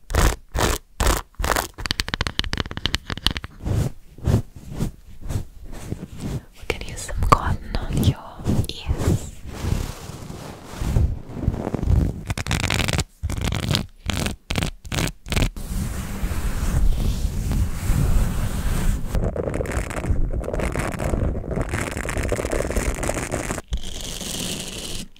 We can use some cotton on your ears.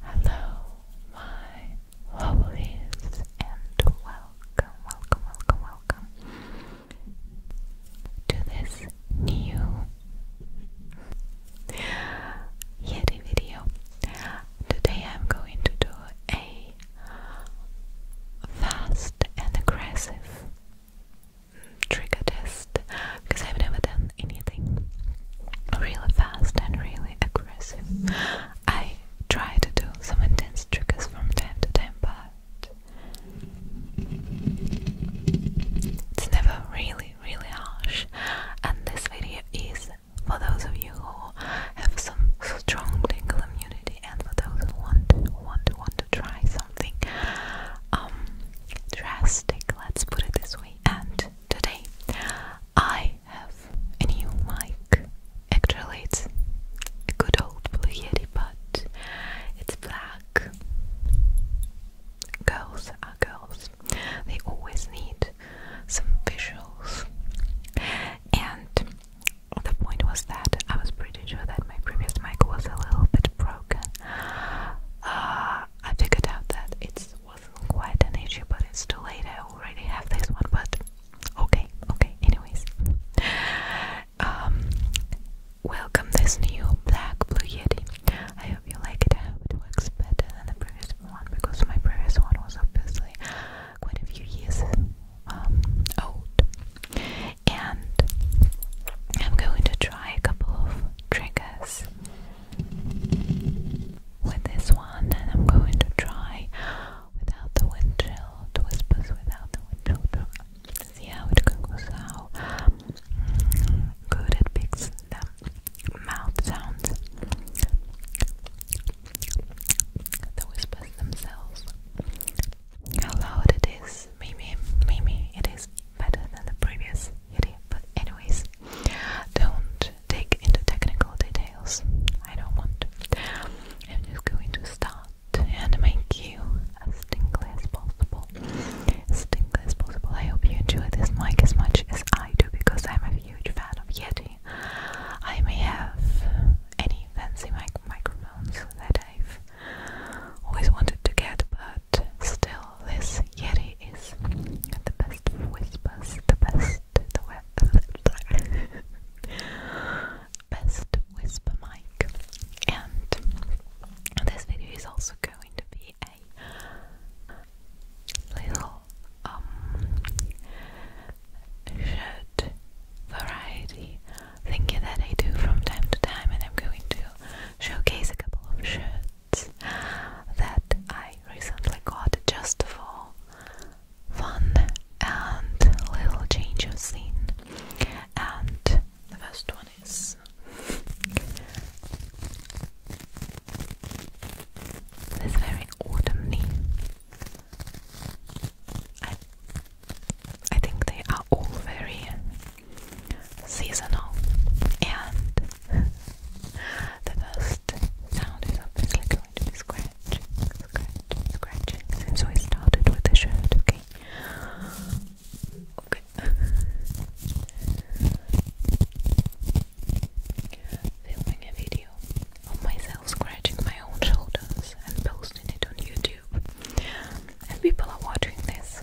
Hello, my lovelies, and welcome, welcome, welcome, welcome to this new Yeti video. Today I'm going to do a fast and aggressive trigger test because I've never done anything really fast and really aggressive. I try to do some intense triggers from time to time, but it's never really, really harsh. And this video is for those of you who have some strong tingle immunity and for those who want want want to try something um, drastic, let's put it this way. And today I have a new mic. Actually it's a good old blue yeti but it's black. Girls are girls. They always need some visuals. And the point was that I was pretty sure that my previous mic was a little bit broken. Uh, I figured out that it wasn't quite an issue, but it's too late. I already have this one, but okay, okay, anyways. Um, welcome this new black blue Yeti. I hope you like it. I hope it works better than the previous one because my previous one was obviously quite a few years um, And I'm going to try a couple of triggers with this one, and I'm going to try without the wind chill, whispers without the wind chill. See how it how mm, good it picks the mouth sounds, the whispers themselves how loud it is. Maybe, maybe it is better than the previous video. But anyways, don't dig into technical details. I don't want. I'm just going to start and make you as tingly as possible. As as possible. I hope you enjoy this mic as much as I do because I'm a huge fan of Yeti. I may have any fancy mic microphones that I've always wanted to get, but still, this Yeti is the best for the best, the web, best whisper mic. And this video is also going to be a little um, shirt variety thinking that I do from time to time, and I'm going to showcase a couple of shirts that I recently got just for fun and little change of scene. And the first one is. This very autumny. I think they are all very seasonal, and the first sound is obviously going to be scratching, scratching, So I started with the shirt, okay, okay. Filming a video of myself scratching my own shoulders and posting it on YouTube and people are watching this.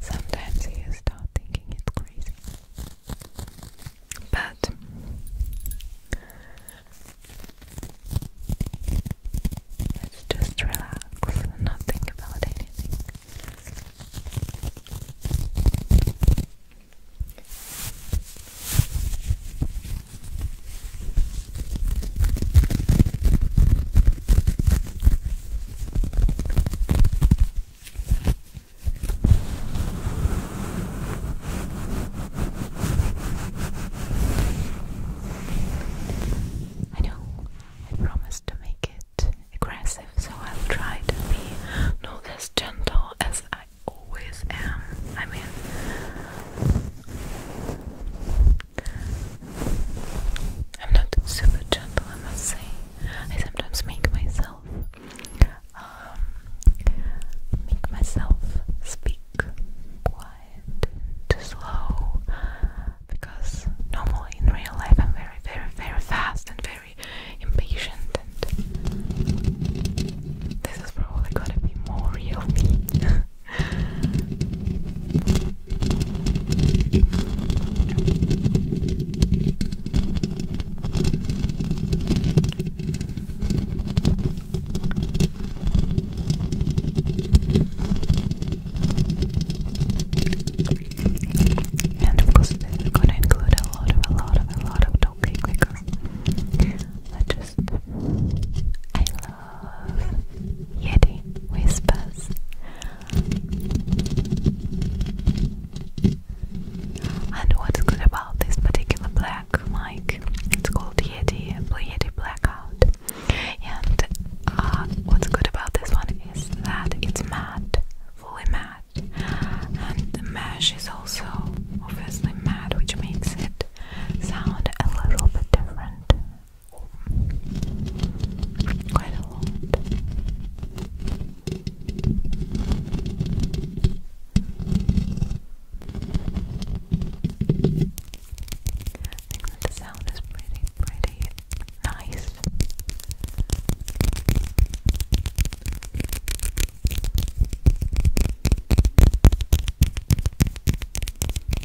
Sometimes you start thinking it's crazy. But let's just relax and not think about anything. I know I promised to make it aggressive, so I'll try to be not as gentle as I always am. I mean, I'm not super gentle, I must say. I sometimes make myself, um, make myself speak quiet and slow because normally in real life I'm very, very, very fast and very impatient, and this is probably gonna be more real me. And of course, this is going to include a lot of, a lot of, a lot of talking because I just, I Yeti Whispers. And what's good about this particular black mic? It's called Yeti Yeti Blackout. And uh, what's good about this one is that it's matte, fully matte, and the mesh is also obviously matte, which makes it sound a little bit different. Quite a lot. I think the sound is pretty, pretty nice.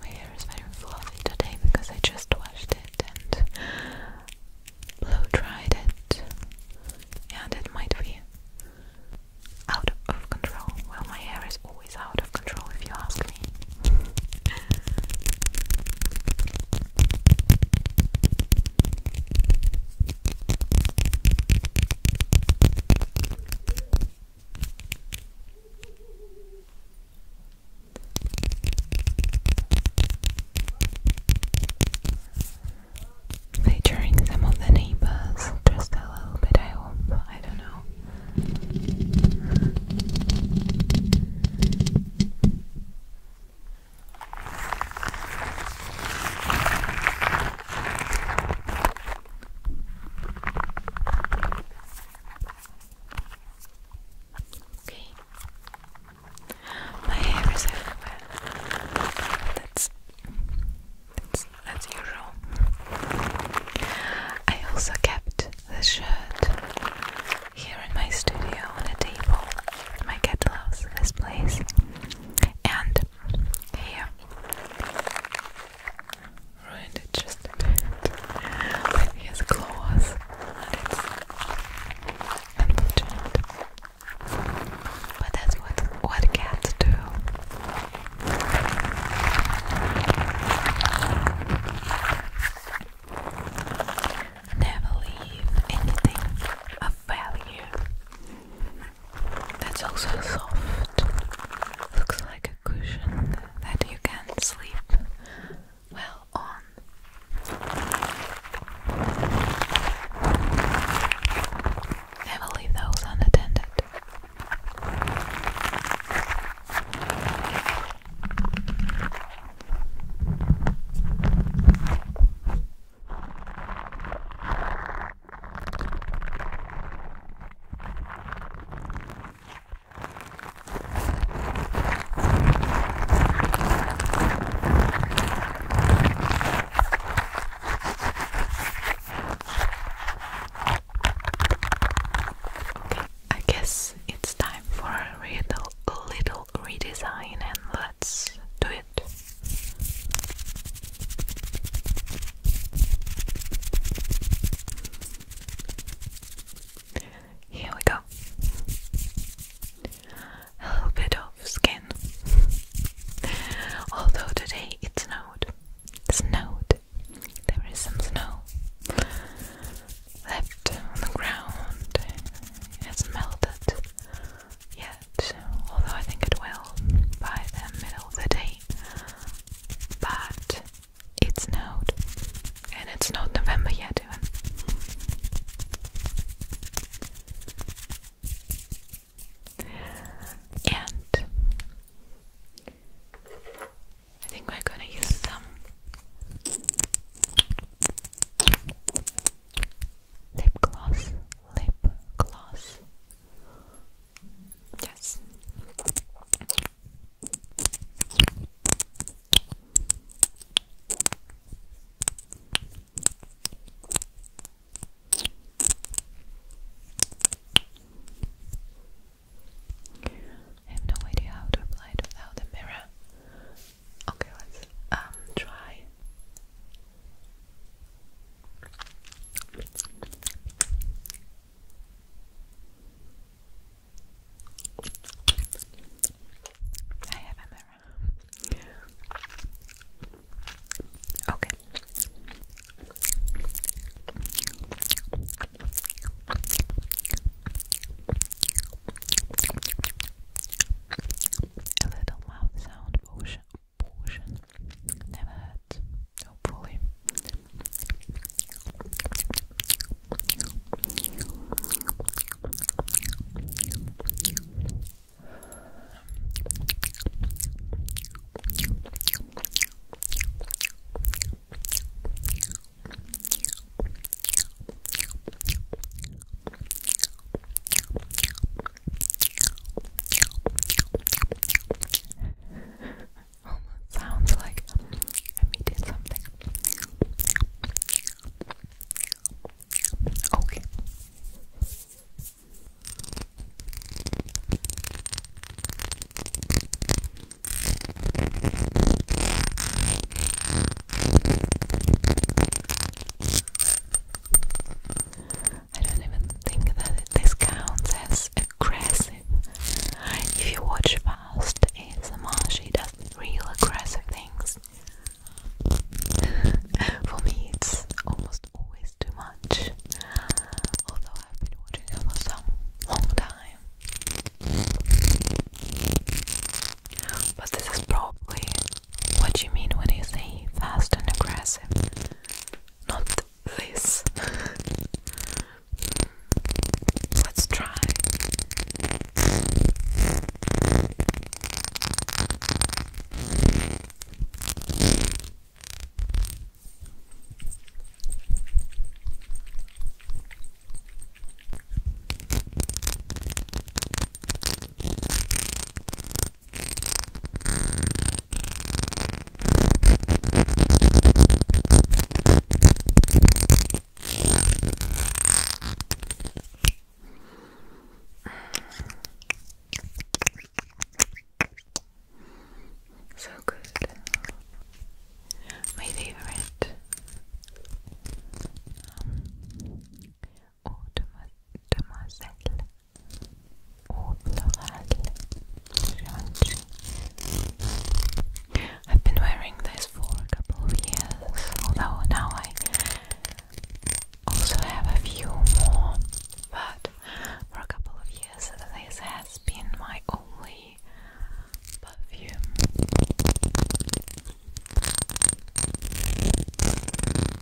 My hair is very fluffy today because I just washed it and blow dried it, and it might be out of control. Well, my hair is always out of control if you ask me. Featuring some of the neighbors, just a little bit, I hope. I don't know. Okay. My hair is everywhere. That's that's as usual. I also kept the shirt here in my studio on a table. My cat loves this place. And yeah, Ruined it just a bit. But here's claws, and it's unfortunate. But that's what what cats do. Never leave anything of value that's also soft. Looks like a cushion that you can sleep well on. Never leave those unattended. I guess it's time for a little, little redesign, and let's do it. Here we go. A little bit of skin. Although today it snowed. snowed. There is some snow left on the ground. It's melted yet, although I think it will by the middle of the day. But it snowed, and it's not November yet, And I think we're gonna use some lip gloss, lip gloss. Yes. I have no idea how to apply it without a mirror. Okay, let's um try. I have a mirror. Okay. A little mouth sound potion portion. Never had, hopefully. Oh, Almost sounds like I'm eating something. Okay. I don't even think that this counts as aggressive. If you watch Fast Faust ASMR, she does real aggressive things. for me, it's almost always too much. Although I've been watching her for some long time. But this is probably what you mean when you say fast and aggressive. Not this. Let's try. So good. My favorite um, oh, Demoiselle au I've been wearing this for a couple of years although now I also have a few more but for a couple of years this has been my only perfume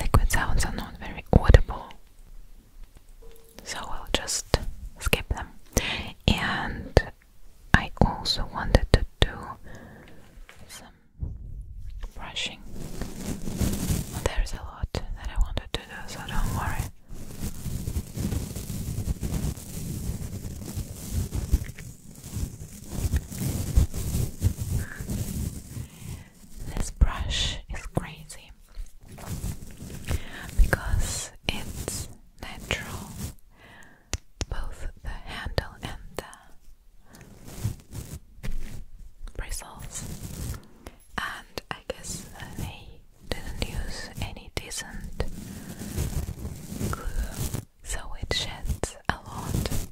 Liquid sounds are not very audible, so I'll just skip them. And I also wanted to do some brushing. There's a lot that I wanted to do, so don't worry. This brush is crazy because it's natural, both the handle and the bristles, and I guess they didn't use any decent glue, so it sheds a lot.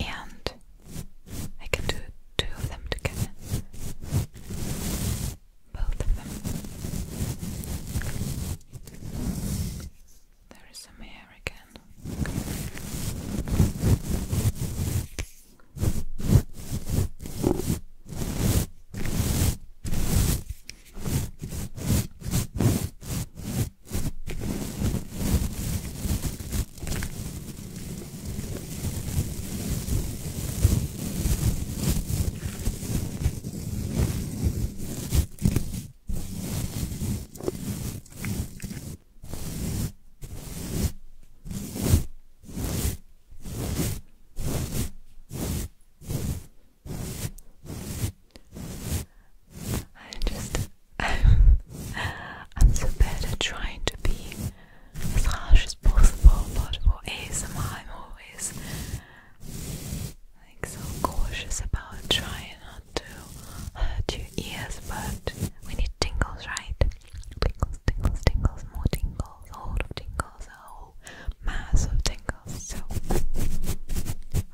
And I can do two of them together. Both of them. There is some air again. I just I'm so bad at trying to be as harsh as possible, but for ASMR I'm always like so cautious about trying not to hurt your ears, but we need tingles, right? Tingles, tingles, tingles, more tingles, a lot of tingles, a whole mass of tingles. So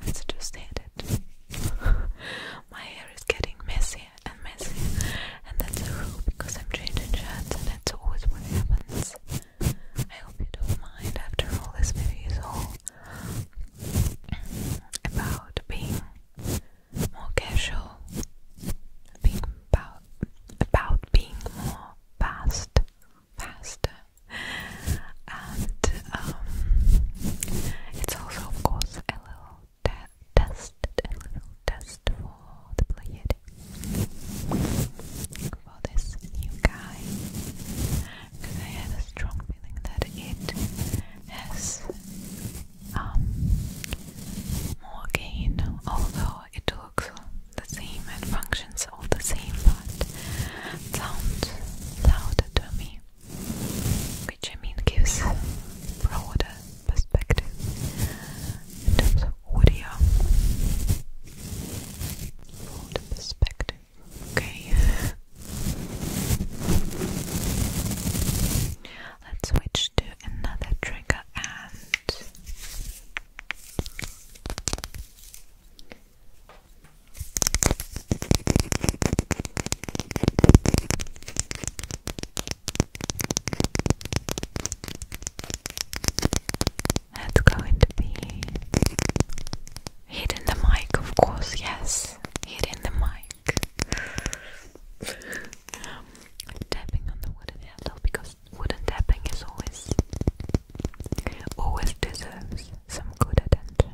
let's just hit it. My hair is getting messier and messier, and that's a rule because I'm changing shirts, and that's always what happens. I hope you don't mind. After all, this video is all about being more casual, being about about being more fast, faster, and um, it's also of course a little test, a little test for the player for this new guy because I had a strong feeling that it has um, more gain, although it looks the same and functions all the same, but sounds louder to me, which I mean gives broader perspective in terms of audio. Broader perspective. Okay. Let's switch to another trigger and that's going to be Hidden the mic, of course, yes. Hidden the mic. Um, tapping on the wooden handle because wooden tapping is always always deserves some good attention.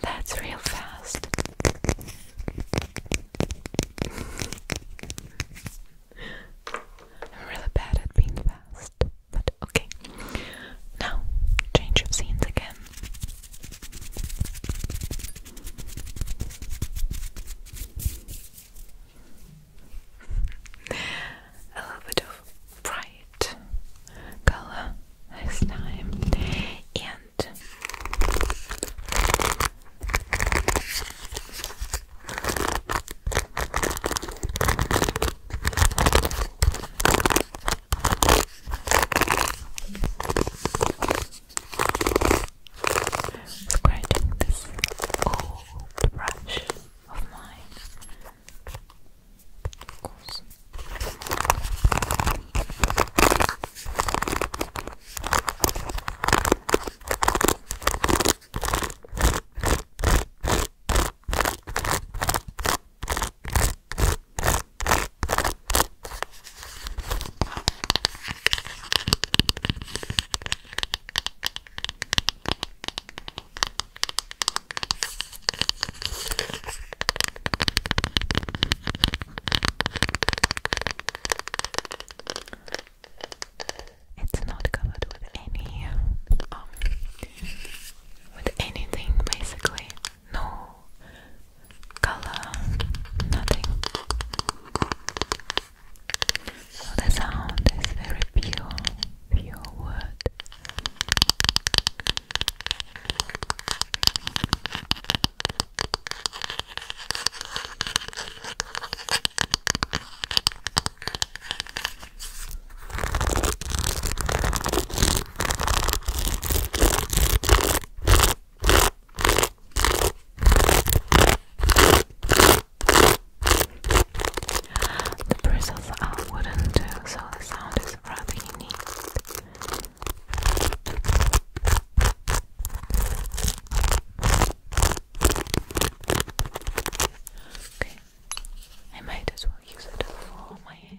That's real fast. I'm really bad at being fast, but okay. Now, change of scenes again. A little bit of bright color this time, and Scratching this old brush of mine. Of course. Now it's not covered with any um with anything basically no color, nothing. So the sound is very pure, pure word. The bristles are wooden too, so the sound is rather unique. Okay, I might as well use it for my hair.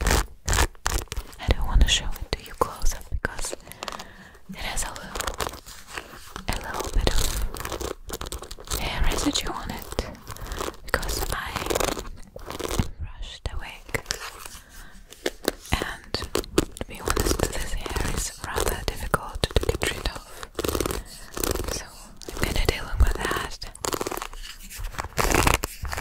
I don't want to show it to you close up because it has a little, a little bit of hair residue on it because I brushed the wig. And to be honest, this hair is rather difficult to get rid of. So I'm gonna deal with that.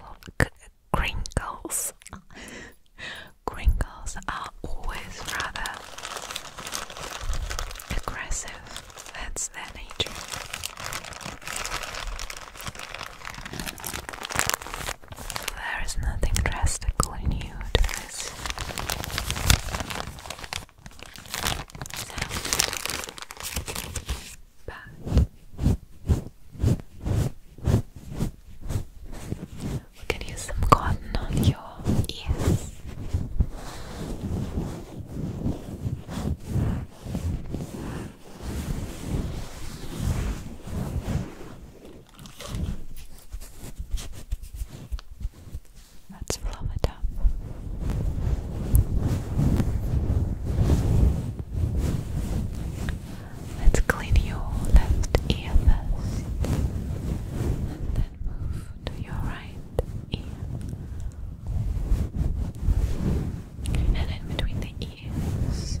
Well, crinkles, crinkles are always rather aggressive. That's their nature. There is nothing drastically new to Bad. We can use some cotton on your ears. Let's fluff it up. Let's clean your left ear first, and then move to your right ear, and in between the ears.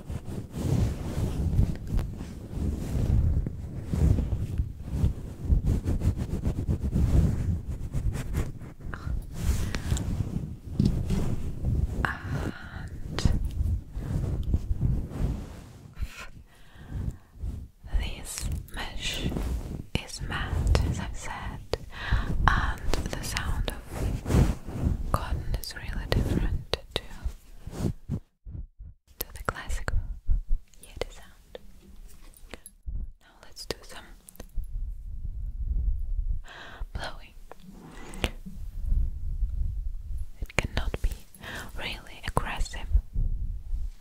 And this mesh is matte, as i said, and the sound of cotton is really different to to the classical yeti sound. Now let's do some blowing. It cannot be really aggressive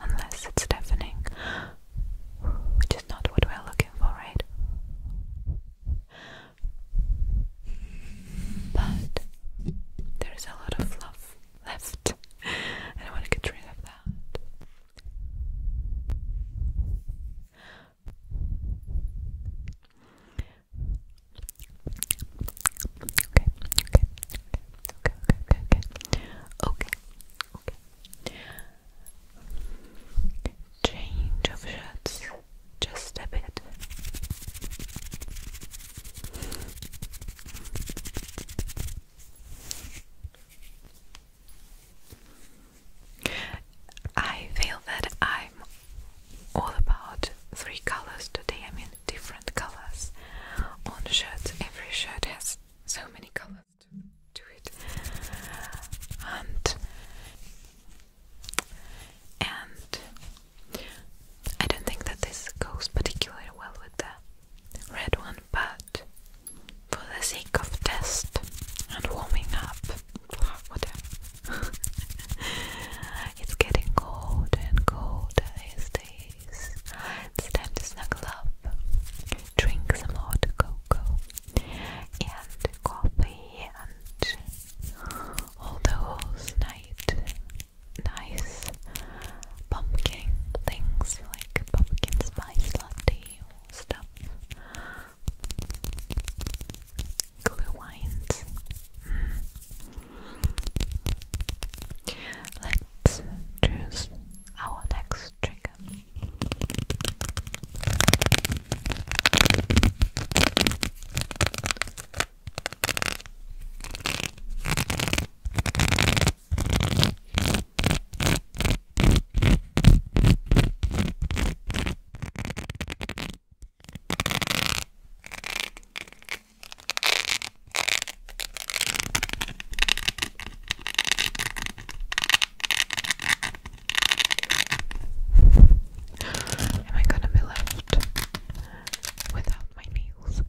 unless it's deafening, which is not what we're looking for, right? But there is a lot of love left, and I want to get rid of that. Okay, okay, okay, okay, okay, okay, okay, okay. Change of shots. Just a bit. I feel that I'm all about three colors today. I mean, different colors on shirts. Every shirt has so many colors to, to it, and and I don't think that this goes particularly well with the red one, but for the sake of test and warming up, whatever. it's getting colder and colder these days. It's time to snuggle up, drink some hot cocoa and coffee and all those night nice pumpkin things like pumpkin spice latte or stuff. Glue wines. Hmm. Let's choose our next trigger. Am I gonna be left without my nails.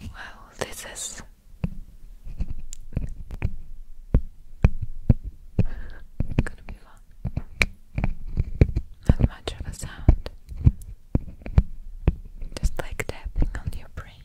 well, this is. Gonna be fun. Not much of a sound. Just like tapping on your brain.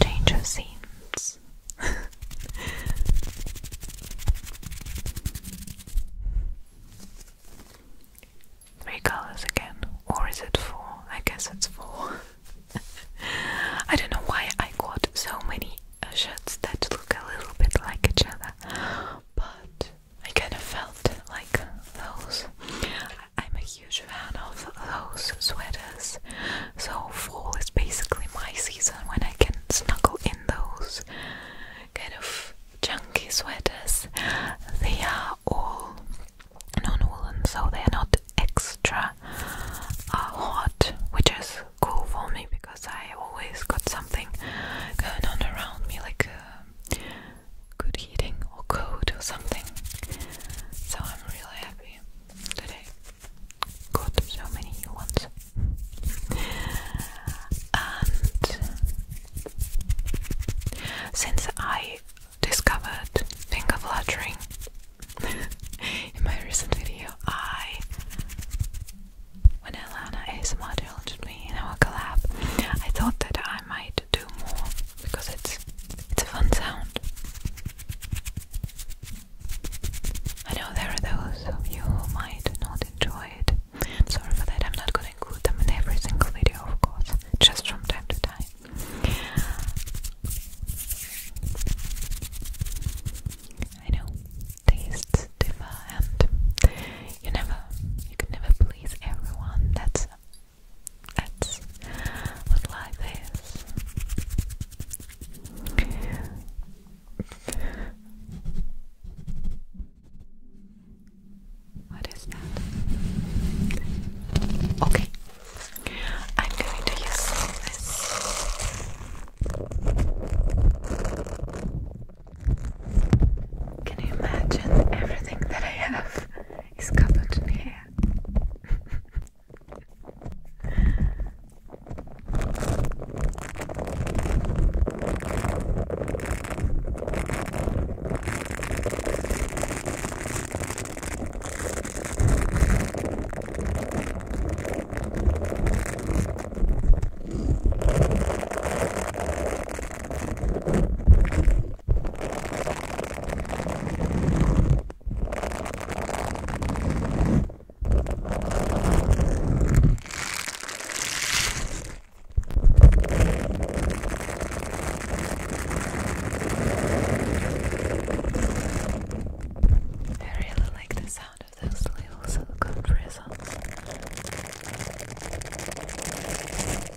Change of scenes. Three colors again, or is it four? I guess it's four. I don't know why I got so many uh, shirts that look a little bit like each other, but I kind of felt like those. I'm a huge fan of those sweaters, so fall is basically my season when I can snuggle in those kind of chunky sweaters. They are all non woolen, so they are not extra uh, hot, which is cool for me because I always got something going on around me, like. Uh, good heating or cold or something. So I'm really happy today. I got so many new ones. And since I discovered finger fluttering in my recent video, I when Alana ASMR challenged me in our collab, I thought that I might to do more because it's it's a fun sound. I know there are those of you who might not enjoy it. I'm sorry for that. I'm not gonna include them in every single video, of course, just from time to time. I know tastes differ, and you never, you can never please everyone. That's Let's like this. What is that? Okay. I'm going to use this. Can you imagine everything that I have? He's covered in hair. I really like the sound of those little silicone bristles.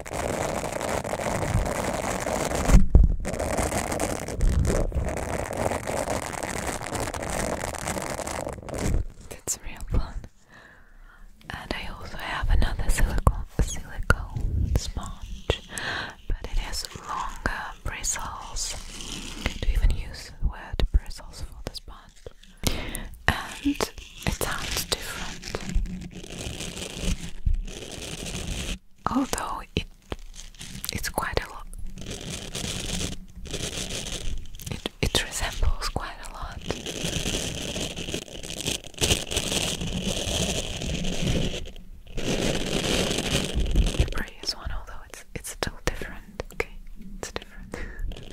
That's real fun. And I also have another silicone silicone sponge, but it has longer bristles. Do even use the bristles for the sponge? and it sounds different although it it's quite a lot it, it resembles quite a lot the is one although it's it's still different okay it's different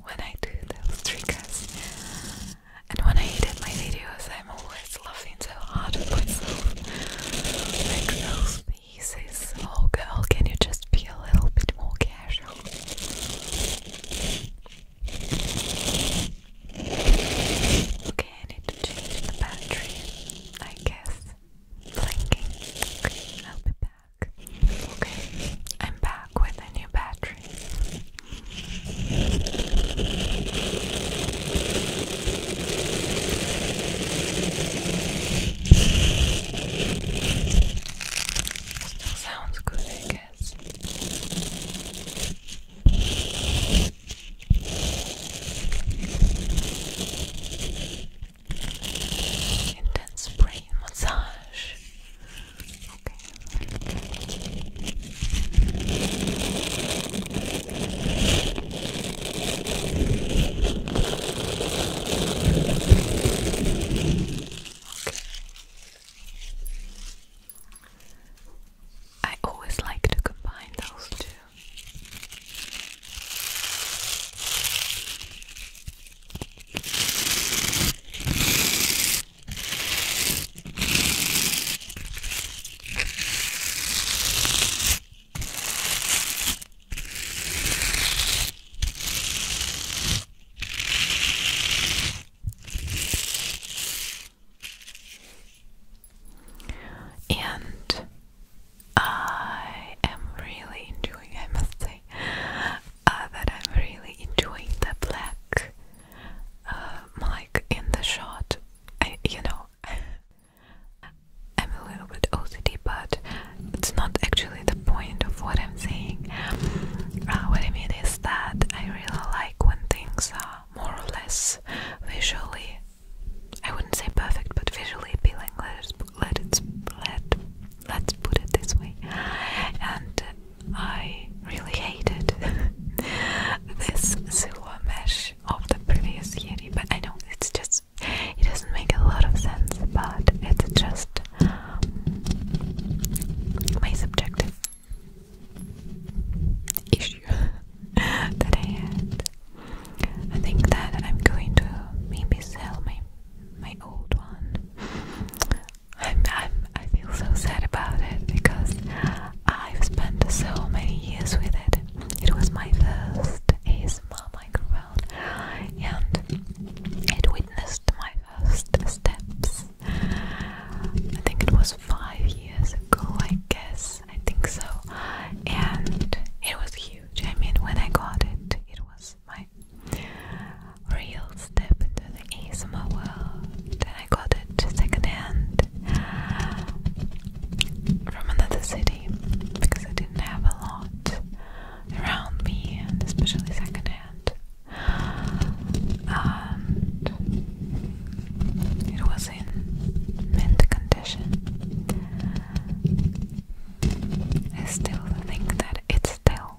when I do those triggers. And when I edit my videos, I'm always laughing so hard at myself. Like those pieces. Oh, girl, can you just be a little bit more casual? Okay, I need to change the battery, I guess. Blinking. I'll be back. Okay, I'm back with a new battery. Still sounds good, I guess. Intense brain massage. Okay. I always like to combine those two. And I am really enjoying, I must say. Uh, that I'm really enjoying the black like uh, in the shot you know I'm a little bit OCD but it's not actually the point of what I'm saying uh, what I mean is that I really like when things are more or less visually I wouldn't say perfect but visually appealing let it, let it, let let's put it this way. And I really hated this silver mesh of the previous Yeti, but I know it's just it doesn't make a lot of sense, but it's just my subjective issue that I had. I think that I'm going to maybe sell my my old one I'm, I'm, I feel so sad about it because I've spent so many years with it. It was my first ASMR microphone and it witnessed my first steps. I think it was five years ago, I guess. I think so. And it was huge. I mean, when I got it, it was my real step into the ASMR world, and I got it secondhand from another city because I didn't have a lot around me, and especially secondhand. it was in mint condition. I still think that it's still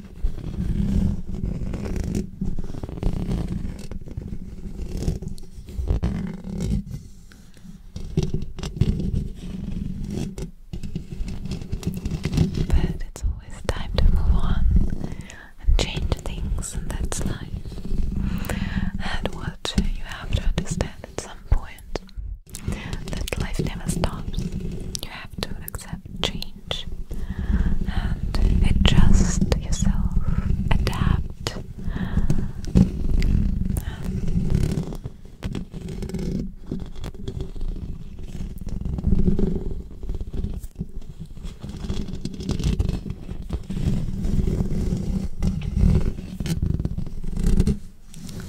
But it's always time to move on and change things, and that's life. And what you have to understand at some point that life never stops. You have to accept change change and adjust yourself, adapt. Um,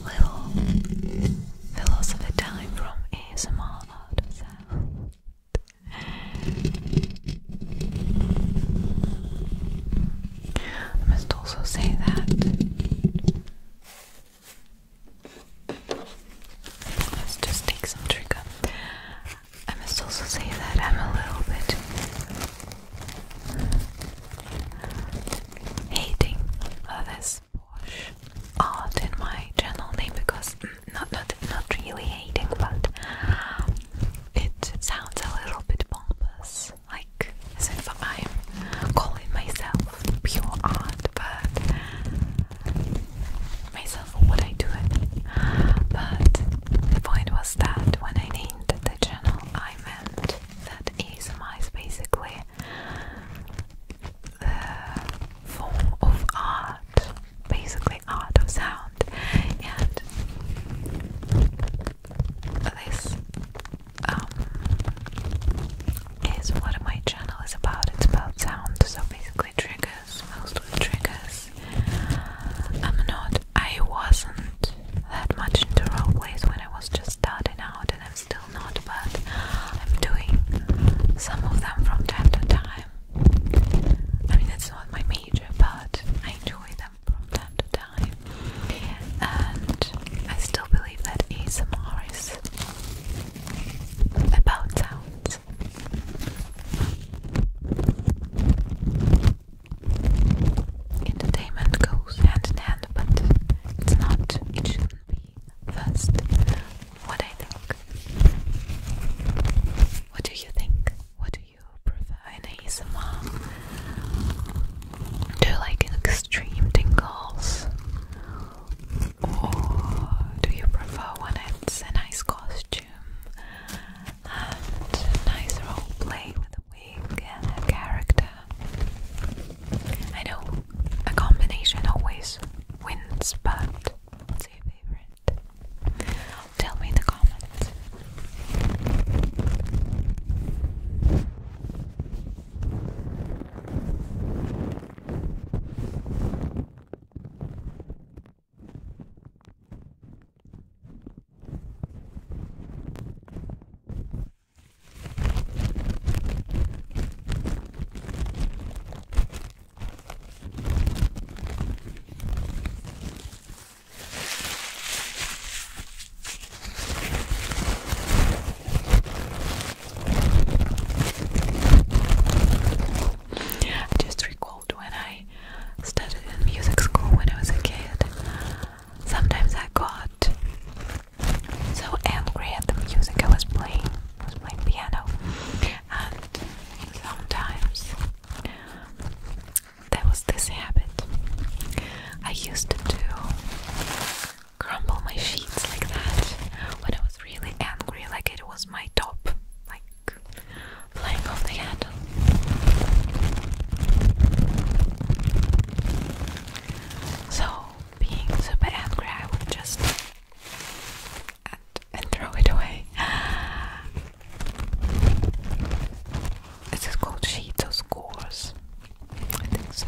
Little philosophy time from ASMR. I must also say that. Let's just take some trigger. I must also say that I'm a little bit hating others art in my channel name because mm, not not not really hating, but it sounds a little bit pompous, like as if I'm calling myself pure art, but myself what I do it. But the point was that when I named the channel, I meant that is ASMR is basically uh, form of art, basically art of sound, and this um, is what my channel is about. It's about sound, so basically triggers, mostly triggers. I'm not. I wasn't that much into role plays when I was just starting out, and I'm still not, but I'm doing some of them from time to time. I mean, that's not my major, but I enjoy them from time to time. And I still believe that ASMR is about sounds. Entertainment goes hand in hand, but it's not, it shouldn't be first what I think. What do you think? What do you prefer in ASMR? Do you like extreme tingles? Or do you prefer when it's a nice costume and a nice role play with a wig and a character? I know a combination always wins, but What's your favorite? Tell me in the comments. I just recalled when I studied in music school when I was a kid. Sometimes I got so angry at the music I was playing. I was playing piano and sometimes there was this habit. I used to crumble my sheets like that when I was really angry, like it was my top, like flying off the handle. So, being super angry, I would just and, throw it away. Is called sheets or scores? I think so.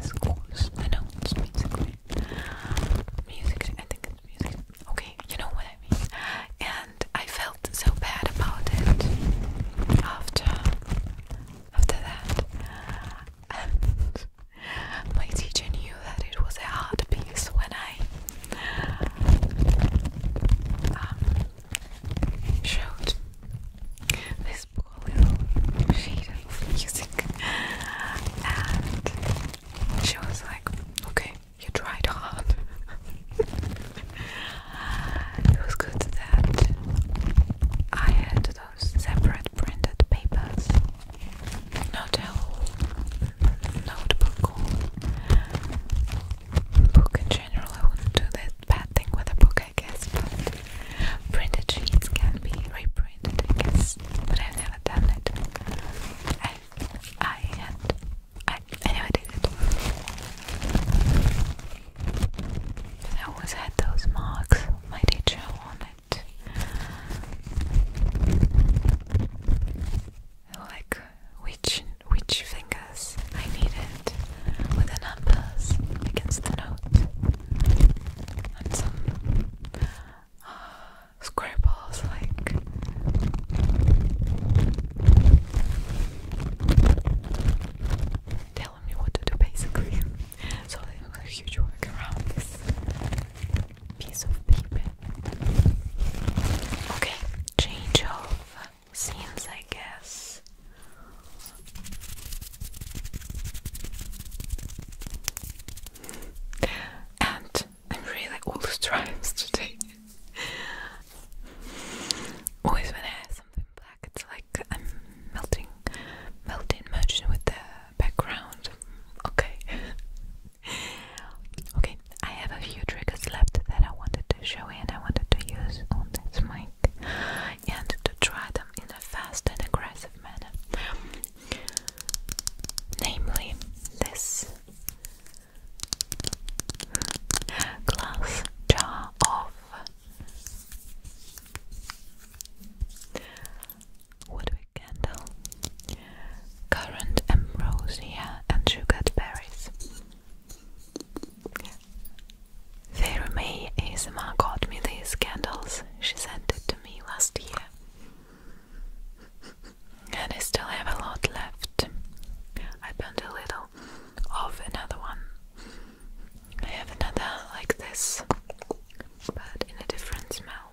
Scores. I know it's music. I think it's music. Okay, you know what I mean. And I felt so bad about it after after that. My teacher knew that it was a hard piece when I um, showed this poor little sheet of music, and she was like, "Okay, you tried hard." it was good that I had the separate printed papers. Notel, notebook, book in general. I wouldn't do that bad thing with a book, I guess. But printed sheets can be reprinted, I guess. But I've never done it. I, I had, I, I never did it. I always had those marks my teacher wanted like which which fingers I need it with the numbers against the note and some uh, scribbles like telling me what to do basically so it was a huge workaround piece of paper. Okay, change of scenes, I guess. And I'm really all stripes today. Always when I have something black, it's like I'm melting, melting, merging with the background. Okay. okay, I have a few triggers left that I wanted to show and I wanted to use on this mic and to try them in a fast and aggressive manner. Namely, this glass jar of woodwick candle, currant ambrosia, and sugared berries. Vera May ASMR got me these candles. She sent it to me last year. And I still have a lot left. I burned a little of another one. I have another like this, but in a different smell.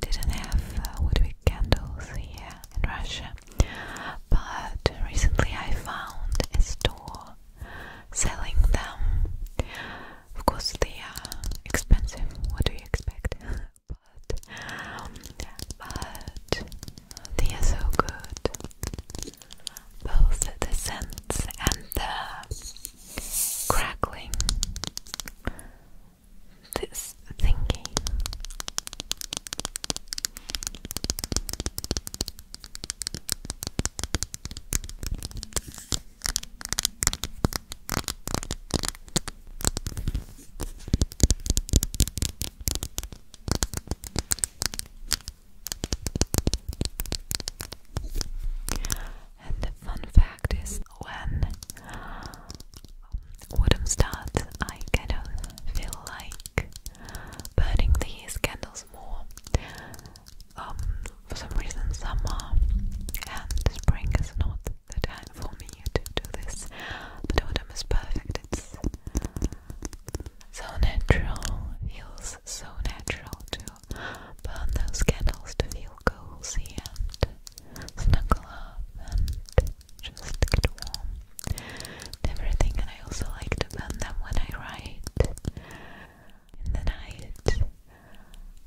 didn't have uh, woodwick candles here in Russia, but recently I found a store selling them. Of course, they are expensive. What do you expect? but but they are so good. Both the scents and the crackling this thinking. And the fun fact practice when wouldn't start, I kind of feel like burning these candles more. Um, for some reason, summer and spring is not the time for me to do this, but autumn is perfect. It's so natural, feels so natural to burn those candles to feel cozy and snuggle up and just get warm everything. And I also like to bend them when I write in the night,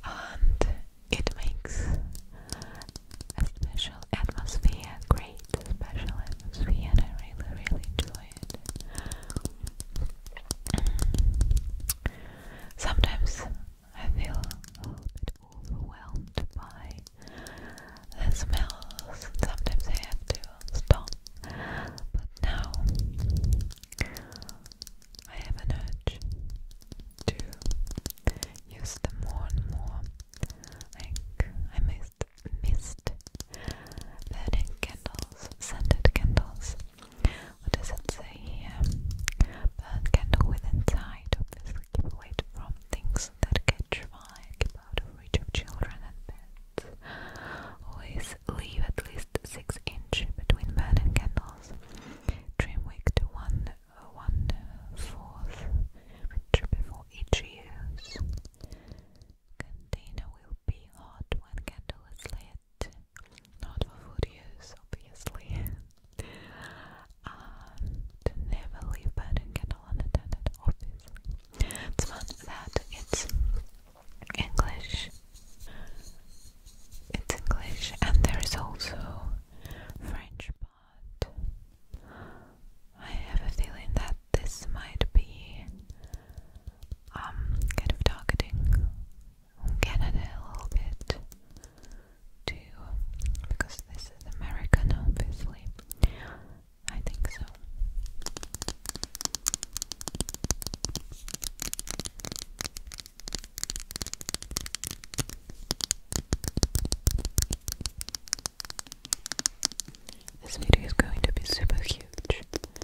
and it makes a special atmosphere, great special atmosphere, I really, really enjoy it. Mm. Sometimes I feel a bit overwhelmed by the smells. Sometimes I have to stop, but now I have an urge to use them more and more. Like I missed missed burning candles, scented candles. What does it say here? Burn candle within time might obviously keep away from things that catch fire, keep out of reach of children and pets. Always leave at least 6 inch between bed and candles. Trim wick to 1 uh, one 14th uh, inch before each use. Container will be hot when candle is lit. Not for food use, obviously and never leave bed and get all unattended, obviously. It's not that, it's English. It's English, and there is also French, but I have a feeling that this might be um kind of targeting Canada a little bit to because this is American obviously. I think so. This video is going to be super huge, but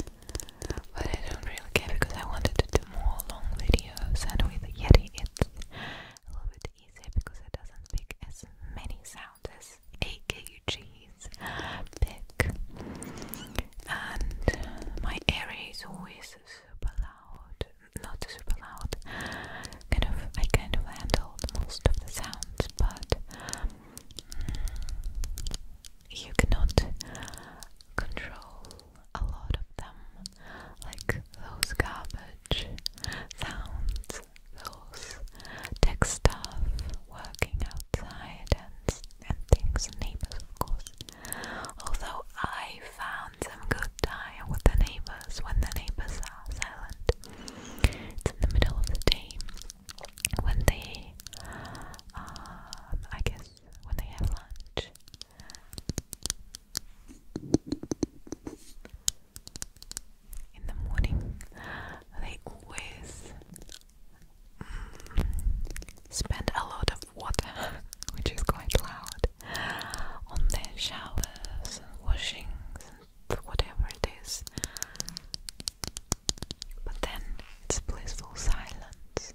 I don't really care because I wanted to do more long videos, and with Yeti it's a little bit bit because it doesn't pick as many sounds as AKUG's pick. And my area is always super loud, not super loud. Kind of, I kind of handle most of the sounds, but mm, you cannot control a lot of them, like those garbage which sounds those tech staff working outside and, and things, neighbors of course. Although I found some good time with the neighbors when the neighbors are silent. It's in the middle of the day when they, um, I guess, when they have lunch in the morning they always mm, spend a lot of water, which is quite loud, on their showers and washings and whatever it is. But then it's blissful silence,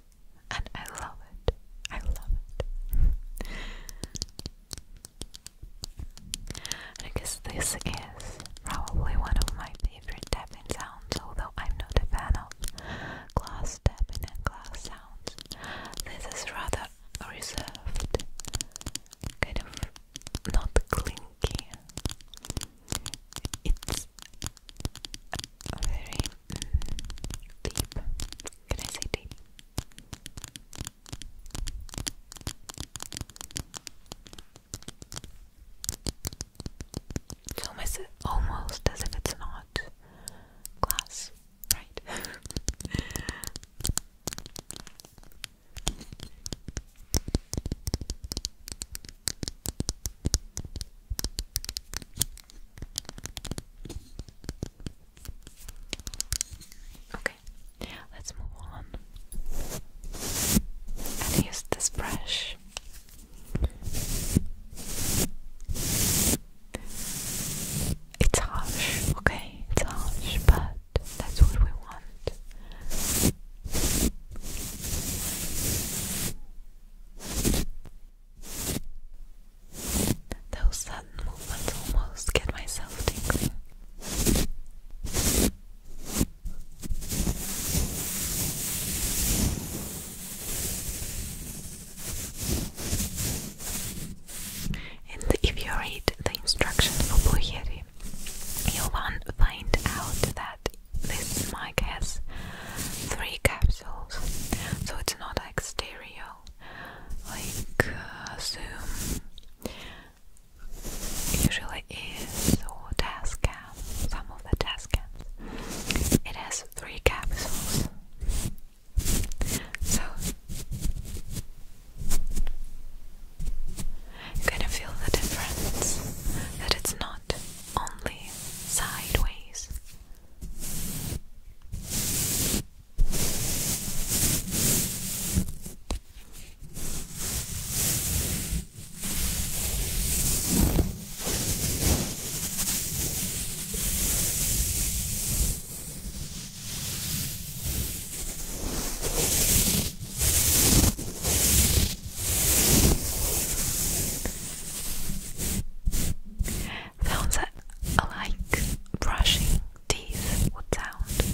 and I love it. I love it. I guess this is probably one of my favorite tapping sounds, although I'm not a fan of glass tapping and glass sounds. This is rather reserved, kind of not clinky. It's very mm, deep. Can I say deep? It's almost, almost as if it's not glass, right? Okay, let's move on and use this brush. It's harsh, okay? It's harsh, but that's what we want. Those button movements almost get myself tingling. And if you read the instructions for Blue you'll find out that this mic has three capsules, so it's not like stereo, like uh, Zoom usually is or test cap. some of the test cams. It has three capsules. So you can feel the difference that it's not only sideways. Sounds like brushing teeth would sound.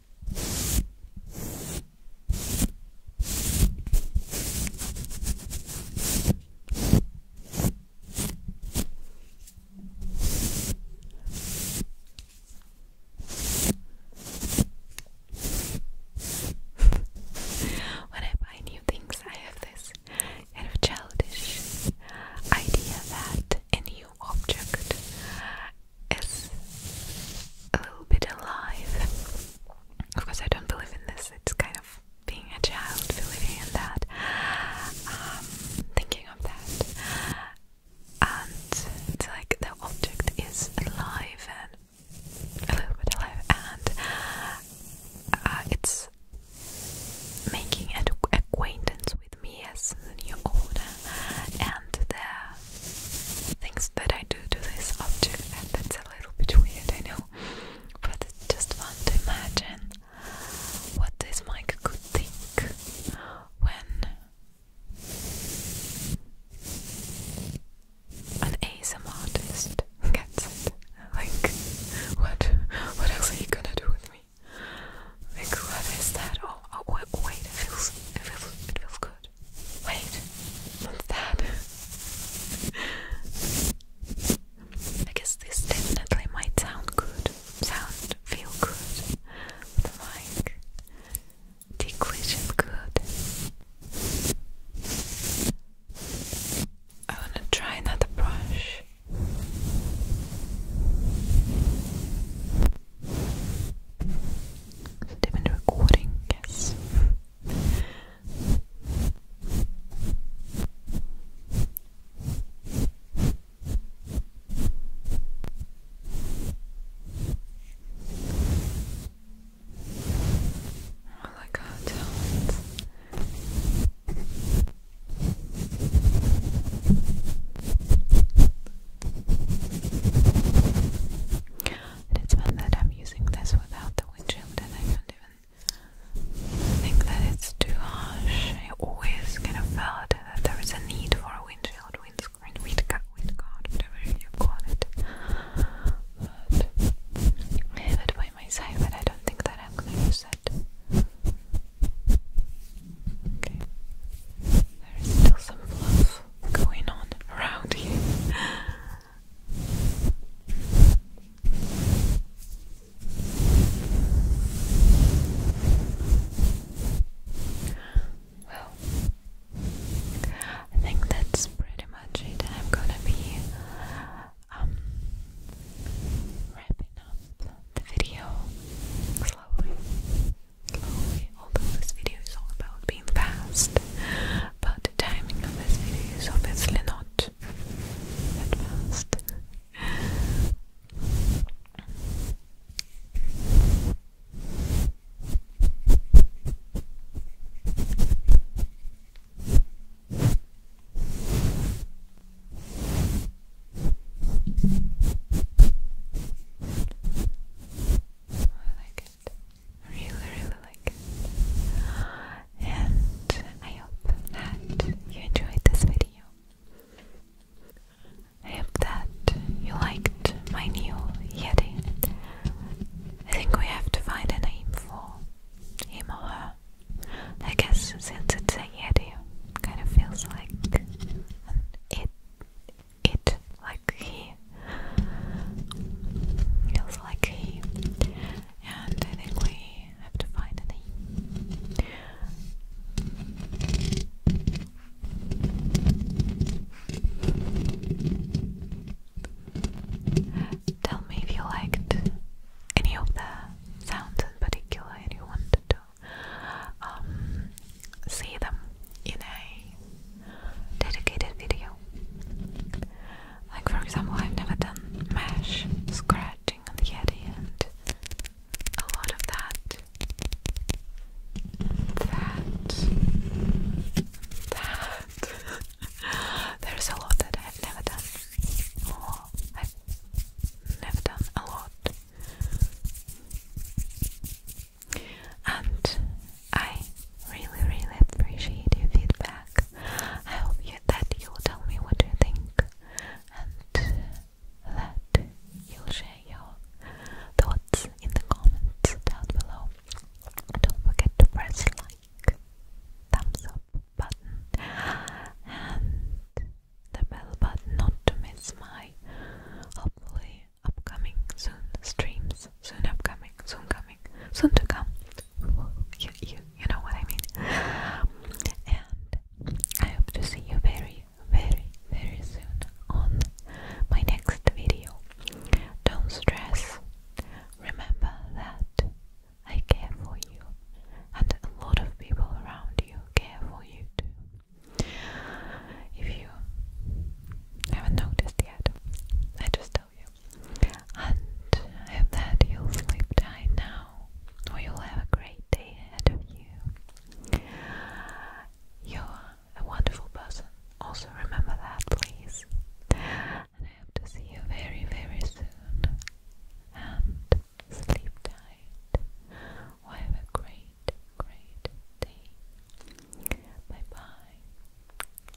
When I buy new things, I have this kind of childish idea that a new object is a little bit alive. Of course, I don't believe in this, it's kind of being a child, believing in that, um, thinking of that. And it's like the object is alive and a little bit alive, and uh, it's making an acquaintance with me as the new owner and the things that I do to this object, and that's a little bit weird, I know, but it's just fun to imagine what this mic could think when an ASM artist gets it. Like, what, what else are you gonna do with me? Like, what is that? Oh, oh wait, wait it feels, it feels, it feels good. Wait, what's that? I this definitely might sound good, sound feel good, but like ticklish and good. I wanna try another brush. Different recording, yes. I like our it's fun that I'm using this without the windshield and I don't even think that it's too harsh. I always kind of felt that there is a need for a windshield, windscreen, windguard, windguard, whatever you call it. But have it by my side, but I don't think that I'm going to use it. Okay. There is still some fluff going on around here. Well, I think that's pretty much it. I'm gonna be um, wrapping up the video slowly although this video is all about being fast, but the timing of this video is obviously not fast. I like it. Really, really like it. And I hope that you enjoyed this video. I hope that you liked my new Yeti. I think we have to find a name for him or her. I guess since it's a Yeti, kind of feels like an it it like he feels like he and I think we have to find an Tell me if you liked any of the sounds in particular and you wanted to um, see them in a dedicated video. Like for example, I've never done mesh scratching on the Yeti and a lot of that that that there's a lot that I've never done or I've never done a lot and I really, really appreciate your feedback. I hope you, that you'll tell me what you think and that you'll share your thoughts in the comments down below. Don't forget to press like, thumbs up button, and the bell button not to miss my hopefully upcoming, soon streams, soon upcoming, soon coming, soon to come. You, you, you know what I mean. And I hope to see you very, very, very soon on my next video. Don't stress. Remember that I care for you, and a lot of people around you care for you too. If you I haven't noticed yet. I just tell you. And I hope that you'll sleep tight now, or you'll have a great day ahead of you. You're a wonderful person. Also, remember that, please. And I hope to see you very, very soon. And sleep tight. have a great, great day. Bye bye.